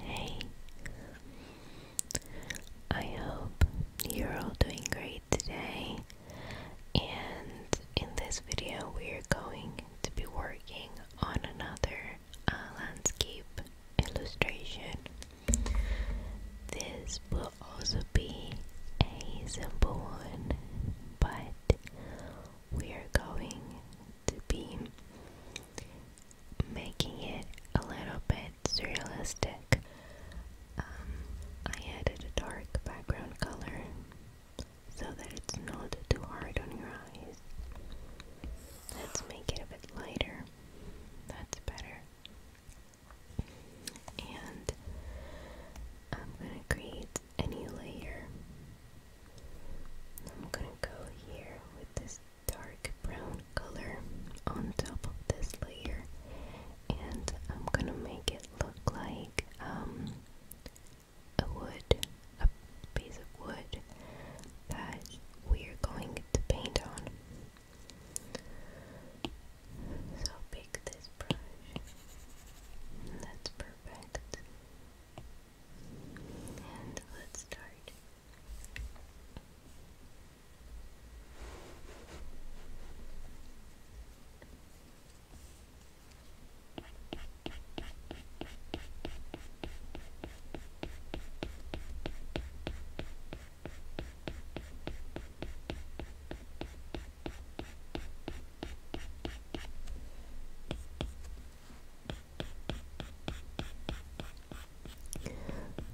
Hey, I hope you're all doing great today. And in this video, we're going to be working on another uh, landscape illustration. This will also be a simple one, but we are going to be making it a little bit surrealistic. Um, I added a dark background color so that it's not too hard on your eyes. Let's make it a bit lighter. That's better. And I'm going to create a new layer. I'm going to go here with this dark brown color on top of this layer and I'm gonna make it look like um, a wood, a piece of wood that we're going to paint on. So pick this brush. That's perfect. And let's start.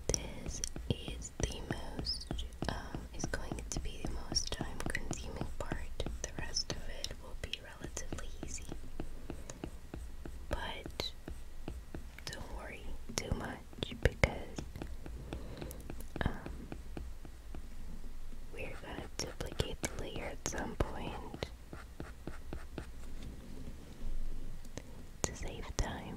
This is the most, um, going to be the most time consuming part. The rest of it will be relatively easy. But don't worry too much because um, we're gonna duplicate the layer at some point to save time.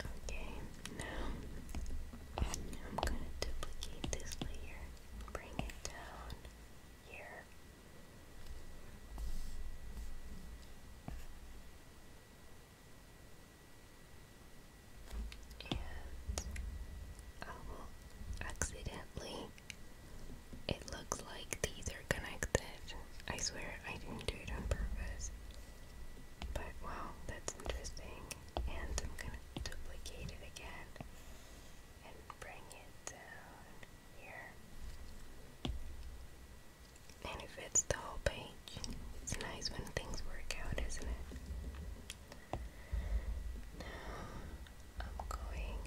Okay, now I'm going to duplicate this layer, bring it down here. And I uh, will accidentally, it looks like these connected. I swear I didn't do it on purpose. But wow, that's interesting. And I'm gonna duplicate it again and bring it down here. And it fits the whole page. It's nice when things work out, isn't it? Now I'm going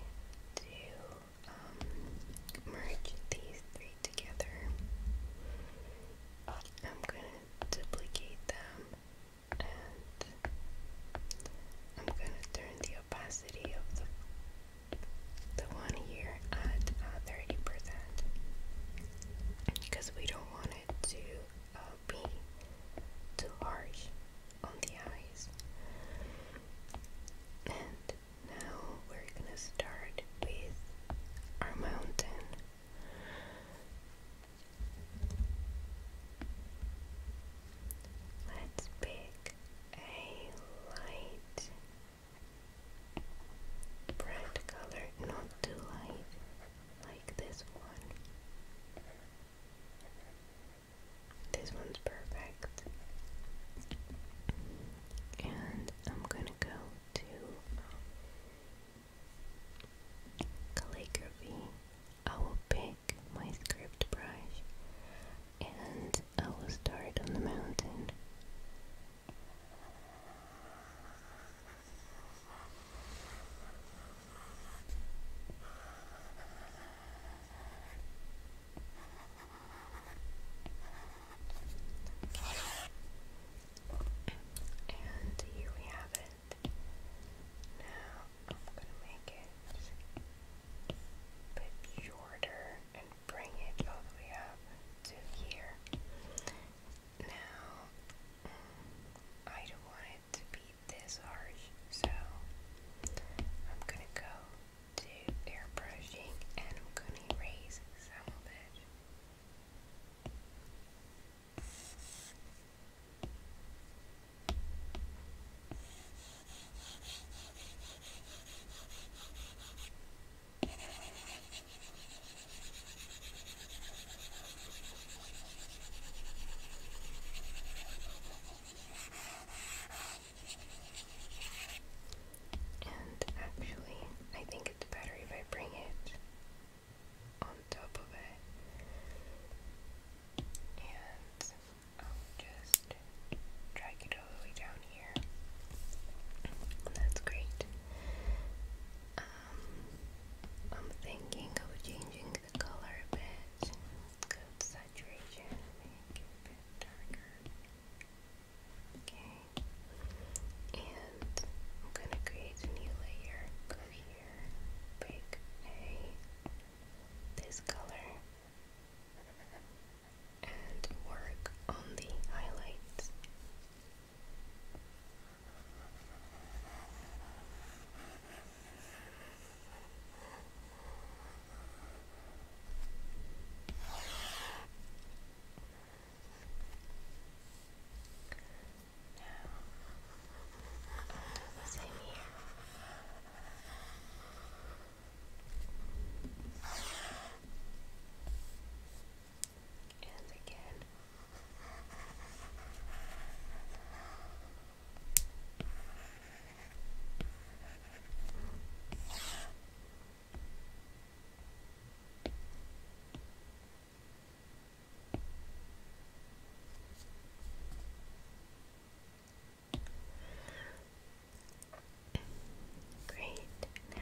to um, merge these three together. I'm gonna duplicate them and I'm gonna turn the opacity of the the one here at uh, 30% because we don't want it to uh, be too harsh on the eyes and now we're gonna start with our mountain. Let's pick a light bright color, not too light, like this one. This one's perfect. And I'm gonna go to um, calligraphy. I will pick my script brush and I will start on the mountain. And here we have it. Now I'm gonna make it a bit shorter and bring it all the way up to here. Now I don't want it to be this harsh, so I'm gonna go do airbrushing and I'm gonna erase some of it. And actually, I think it's better if I bring it on top of it. And I'll just drag it all the way down here. That's great. Um, I'm thinking of changing the color a bit. Good saturation, make it a bit darker. Okay. And I'm going to create a new layer. Go here, pick a this color, and work on the highlights. Now, I'll do the same here. And again. Now, Great now.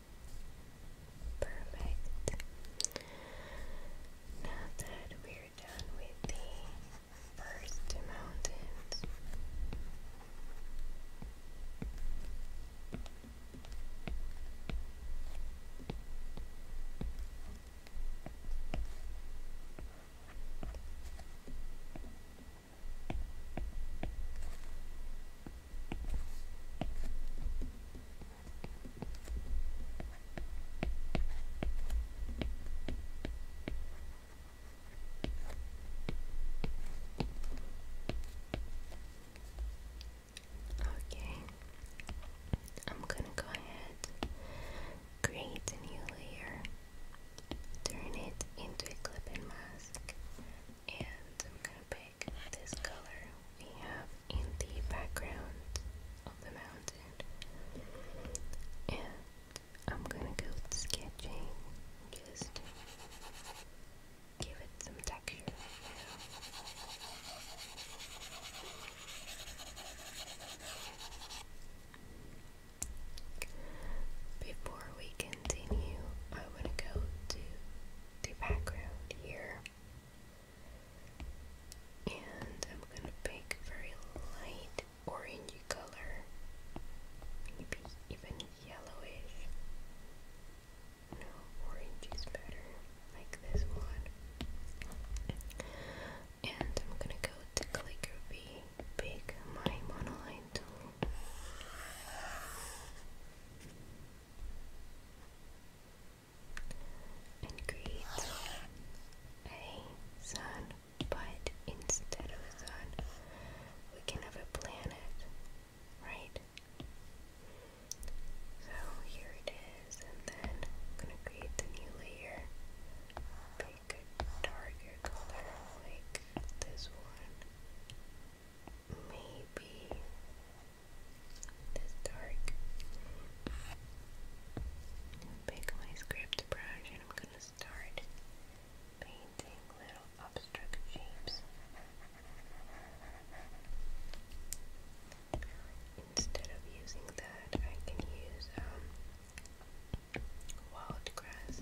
Perfect. Now that we're done with the first mountains, Okay, I'm gonna go ahead, create a new layer, turn it into a clipping mask, and I'm gonna like this color we have in the background of the mountain. And I'm gonna go sketching, just give it some texture. Before we continue, I want to go to the background here. And I'm gonna pick very light orangey color, maybe even yellowish. No, orange is better, like this one. And I'm gonna go to calligraphy, pick my monoline tool and create a sun, but instead of a sun, we can have a planet, right? So here it is, and then I'm gonna create the new layer. Pick a darker color like this one. Maybe this dark. pick my script brush and I'm gonna start painting little abstract shapes. Instead of using that, I can use um, wild grass.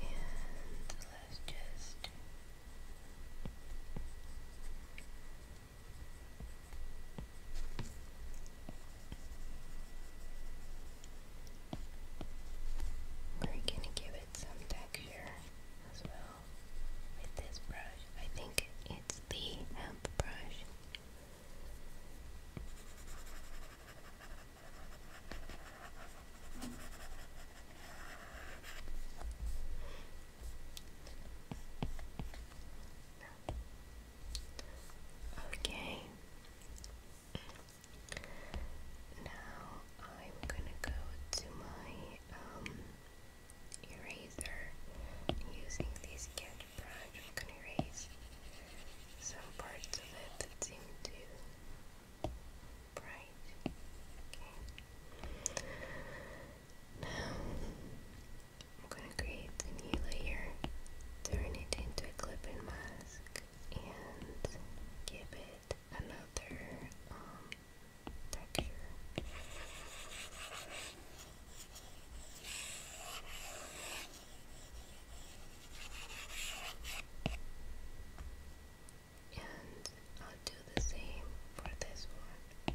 And let's just. We're gonna give it some texture as well with this brush. I think it's the hemp brush. Okay. Now I'm gonna go to my um, eraser using this brush. I'm gonna erase some parts of it that seem bright. Okay. I'm going to create a new layer, turn it into a clip-in mask, and give it another um, texture. And I'll do the same for this one.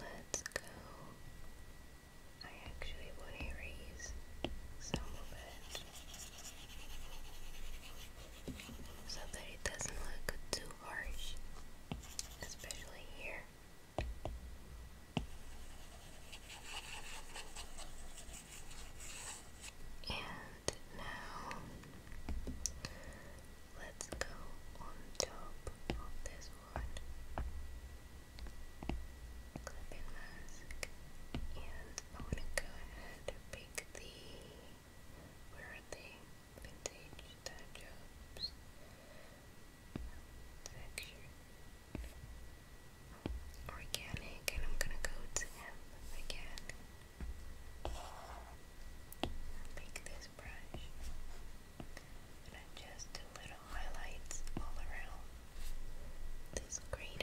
Let's go. I actually want to erase some of it so that it doesn't look too harsh, especially here. And now let's go on top of this sword, clipping mask, and I want to go ahead and pick the, where are they, vintage dad jobs, organic, and I'm gonna go to him again, pick this brush. And I just do little highlights all around these craters.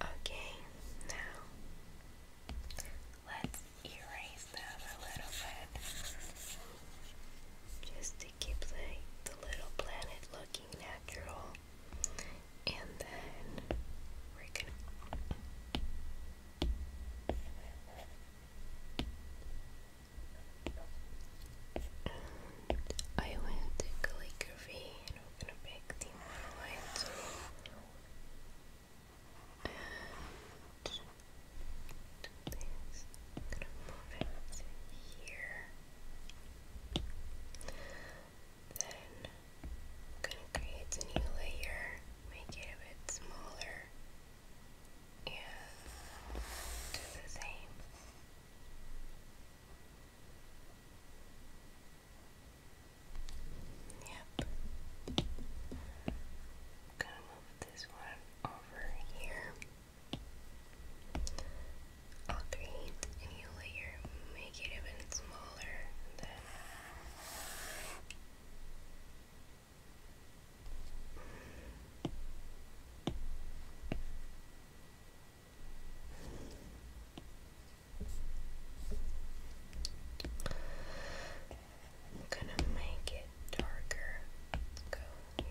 Okay, now let's erase them a little bit just to keep the, little planet looking natural. And then we're gonna. I want to click V and going to pick the monoline I'm going to move it here. Then I'm going to create a new layer, make it a bit smaller, and do the same. Yep. i move this one over here. I'll create a new layer, make it even smaller than I'm gonna make it darker. Go here.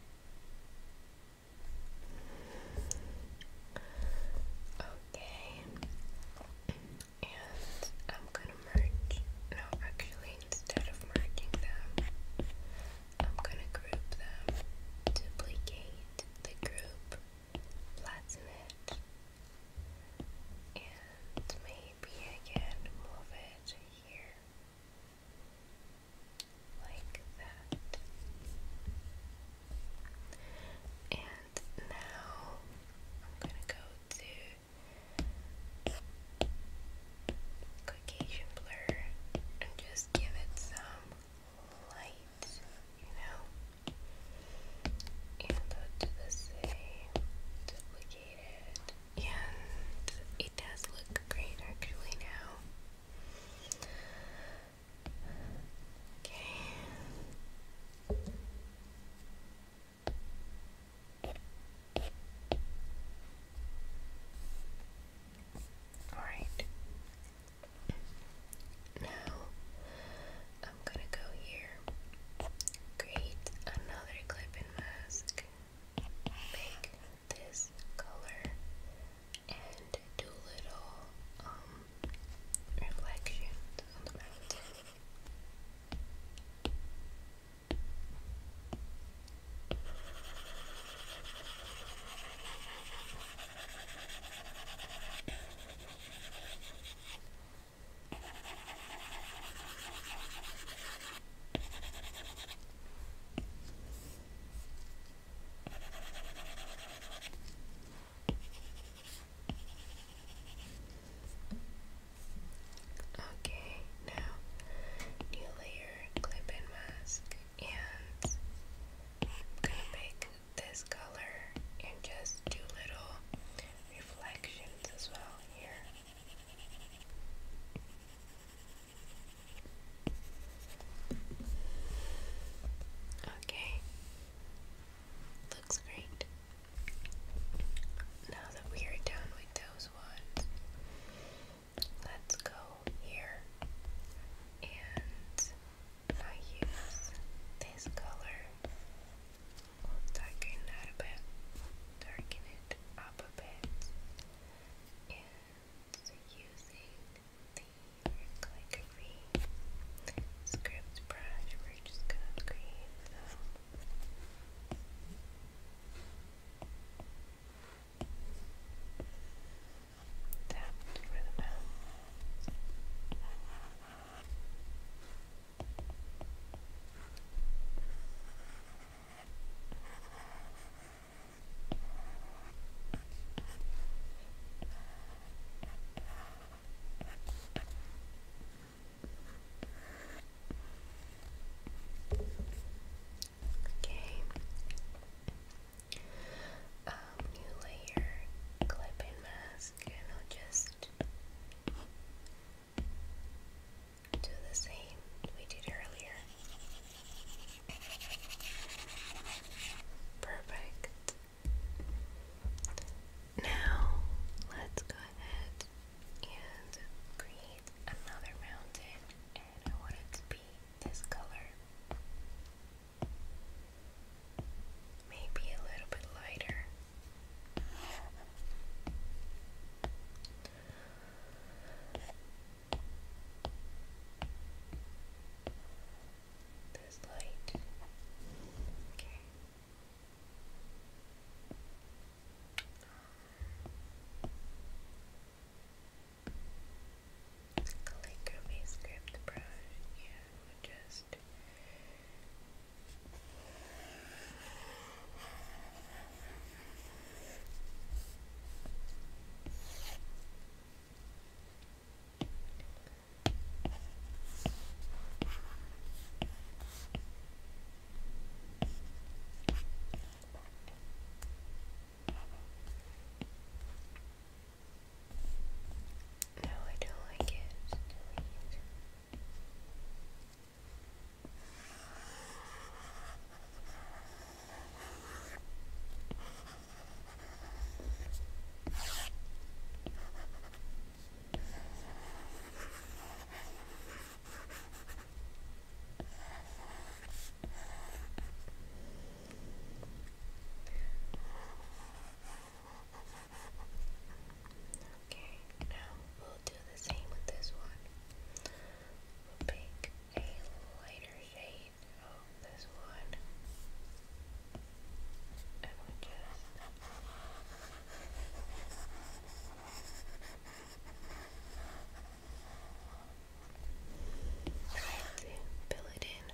Okay. And I'm gonna merge. No, actually, instead of merging them, I'm gonna group them. Duplicate the group, flatten it, and maybe I move it here like that. And now I'm gonna go to Caucasian blur and just give it some light, you know? And do the same, duplicate and it does look great actually now. Okay. Alright. Now I'm gonna go here, create another clip mask, make this color and do little um, reflections on the mountain. Okay, now new layer clip and mask, and I'm gonna pick this color and just do little reflections as well here. Okay. Looks great. Now that we are done with those ones, let's go here and I use this color. darken that a bit, darken it up a bit, and so using the like green script brush, we're just gonna create some tapped for the mouth. Okay. Um, new layer clipping mask, and I'll just do the same we did earlier. Perfect. Now let's go ahead and create another mountain, and I want it to be this color. Maybe a little bit lighter. There's light. Okay. Calligraphy script brush. Yeah, just. No, I don't like it. I don't like it. Okay, now we'll do the same with this one. we a lighter shade of this one and we just fill it in.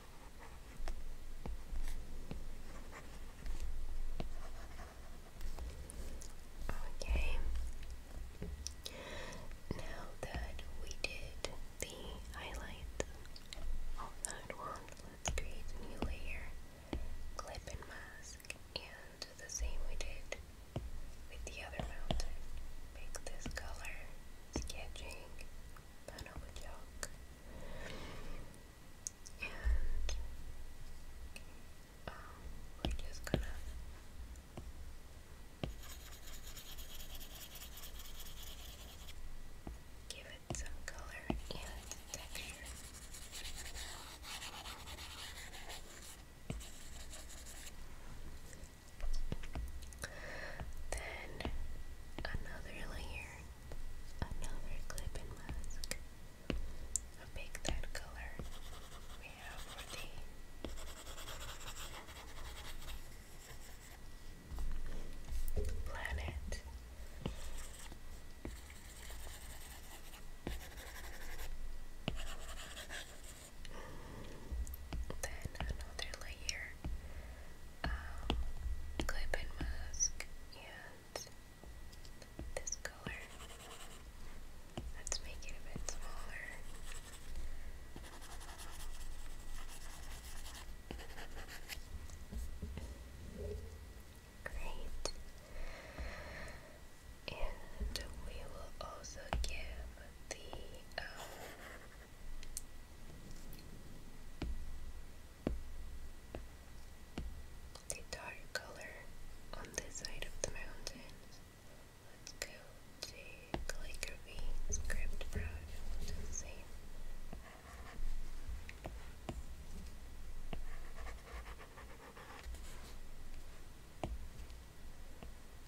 Okay. Now that we did the highlight of one, let's create a new layer, clip and mask, and the same we did with the other mountain. Pick this color, sketching, and we're just gonna give it some color and texture. Then another layer, another clip mask. i that color we have for the planet. Then another layer um, clip and mask and this color. Let's make it a bit smaller. Great. And we will also give the um, the dark color on this side of the mountains. Let's go to calligraphy script brush. We'll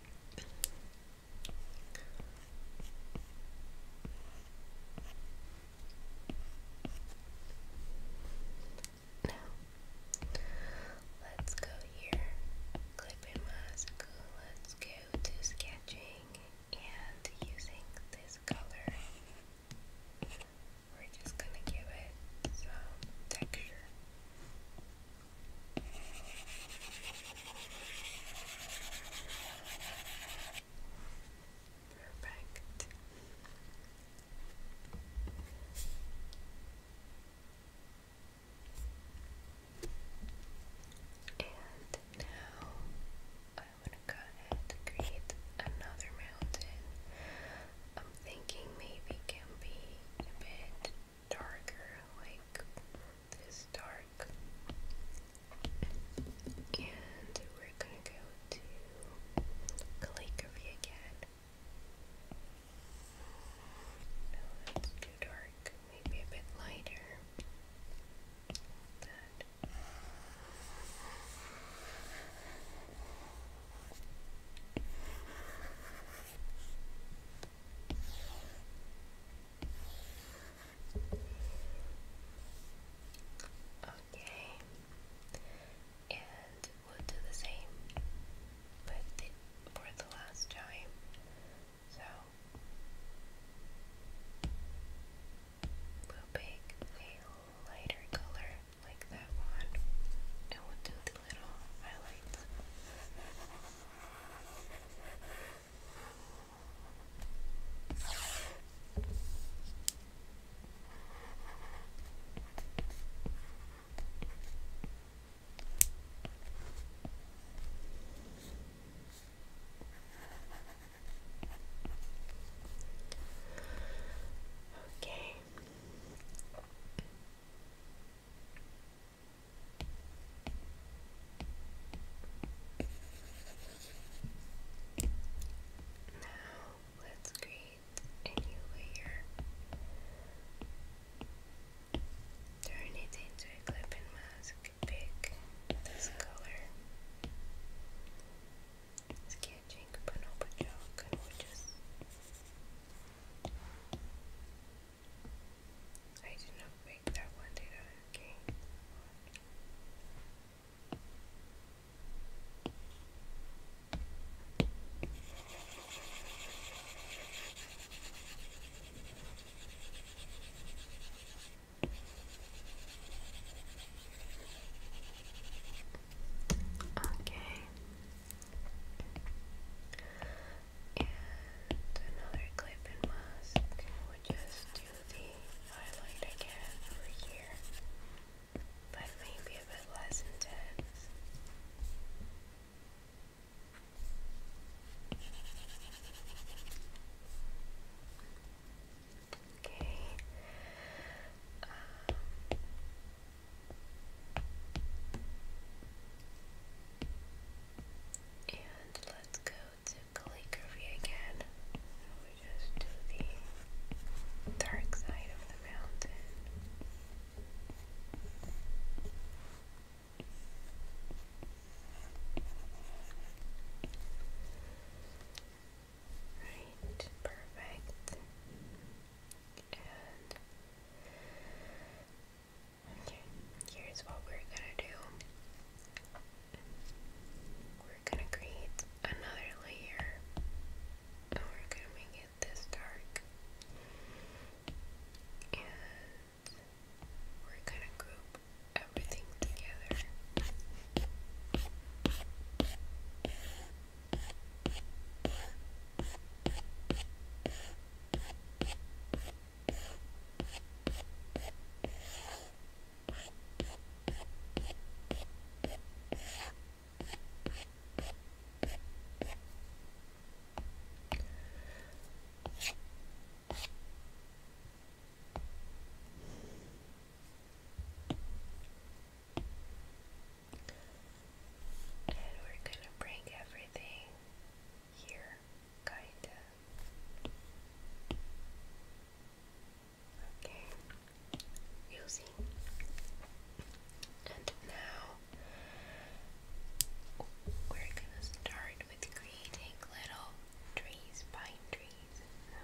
Now, let's go here, clipping mask, let's go to sketching and using this color, we're just gonna give it some texture. Perfect. And now I want to go ahead and create another mountain. I'm thinking maybe it can be a bit darker, like this dark. And we're gonna go to calligraphy again. No, that's too dark. Maybe a bit lighter. Like Okay, and we'll do the same, but for the last time. So we'll pick a lighter color like that one, and we'll do the little Okay. Now let's create a new layer. Turn it into a clipping mask. Pick this color. Sketching Panopa chalk and we'll just I did not make that one, did I? Okay. Okay. And another clip and mask, we'll just do the highlight again over here, but maybe a bit less intense. Okay. Um, and let's go to calligraphy again. And we just do the dark side of the mountain. Right, perfect. And Okay, here's what we're gonna do. We're gonna create another layer we're gonna make it this dark. And we're gonna group everything together. And we're going to bring everything here, kinda. Okay, you And now we're gonna start with creating little trees, pine trees. No,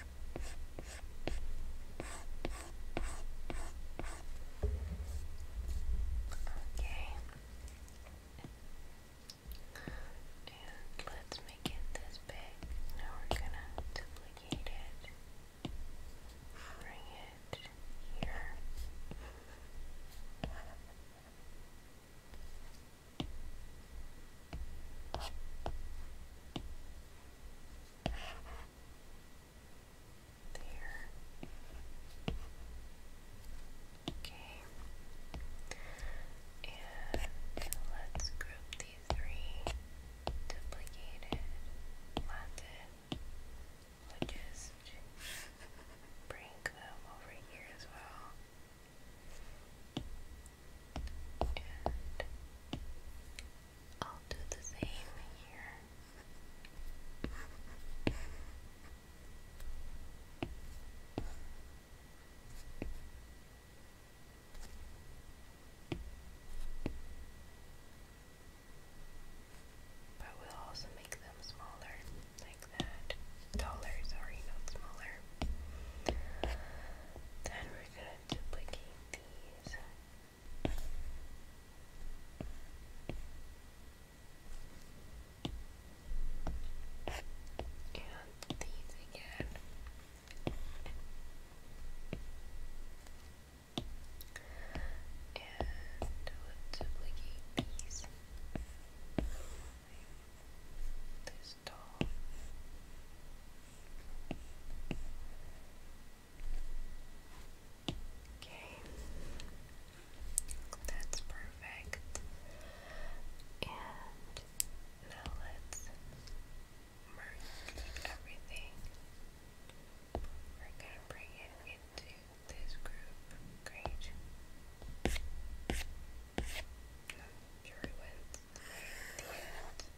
Okay. And let's make it this big. Now we're gonna duplicate it. Bring it here. There. Okay. And let's group these three duplicated Latin, we just bring them over here as well. I'll do the same here. But we'll also make them smaller, like that. Taller, sorry, not smaller. Then we're going duplicate these. And these again. And let's duplicate these. This doll. Okay, that's perfect. And now let's merge everything. We're gonna bring it into this group. Great. I'm sure it the end.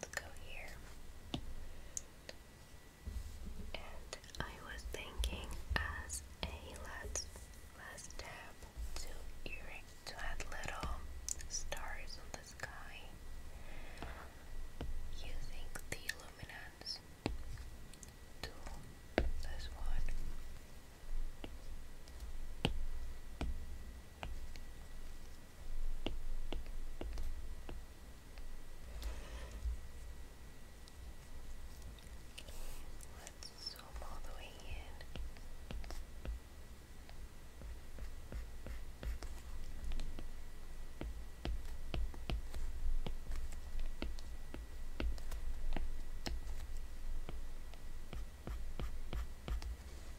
let's go here. And I was thinking as a last last step to add little stars on the sky using the luminance tool. This one. Let's zoom all the way in.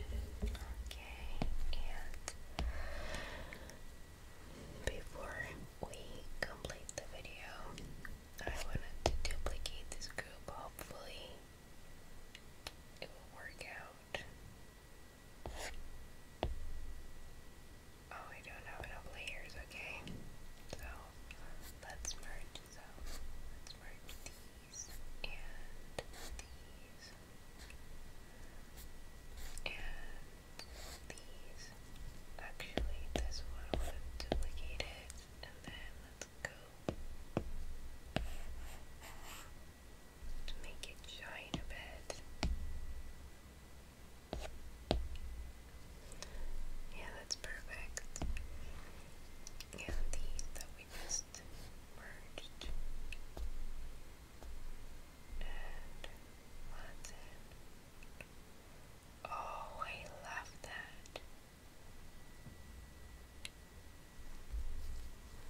Okay, and before we complete the video, I wanted to duplicate this group. Hopefully, it will work out. Oh, we don't have enough layers, okay? So, let's merge those. Let's merge these and these and these. Actually, this one I want to duplicate it and then let's go to make it shine a bit. Yeah, that's perfect. And these that we just merged and lots Oh, I love that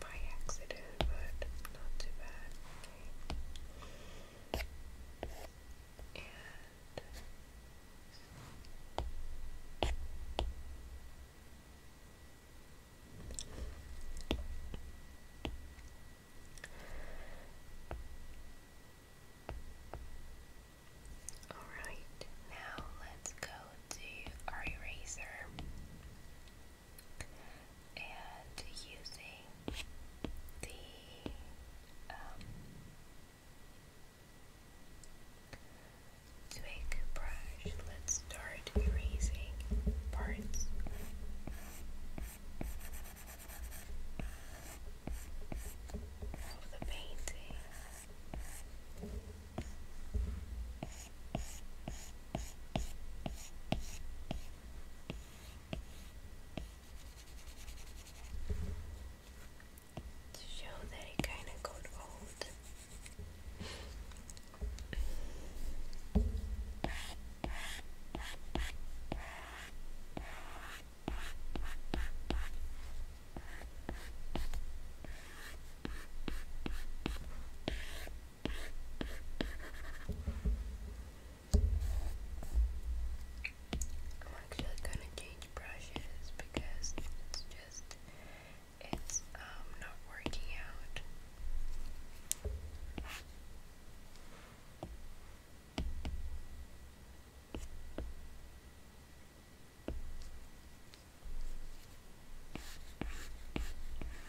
by accident, but not too bad. Okay. And Alright, now let's go to our eraser and using the um, twig brush, let's start erasing parts. Of the painting to show that it kind of got old. I'm actually gonna change brushes because it's just it's um not working out.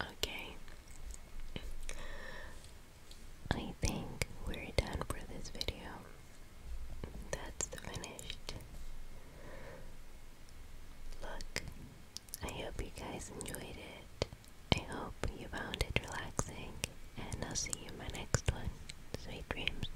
Okay. I think we're done for this video. That's the finished look. I hope you guys enjoyed it. I hope you found it relaxing, and I'll see you in my next one. Sweet dreams.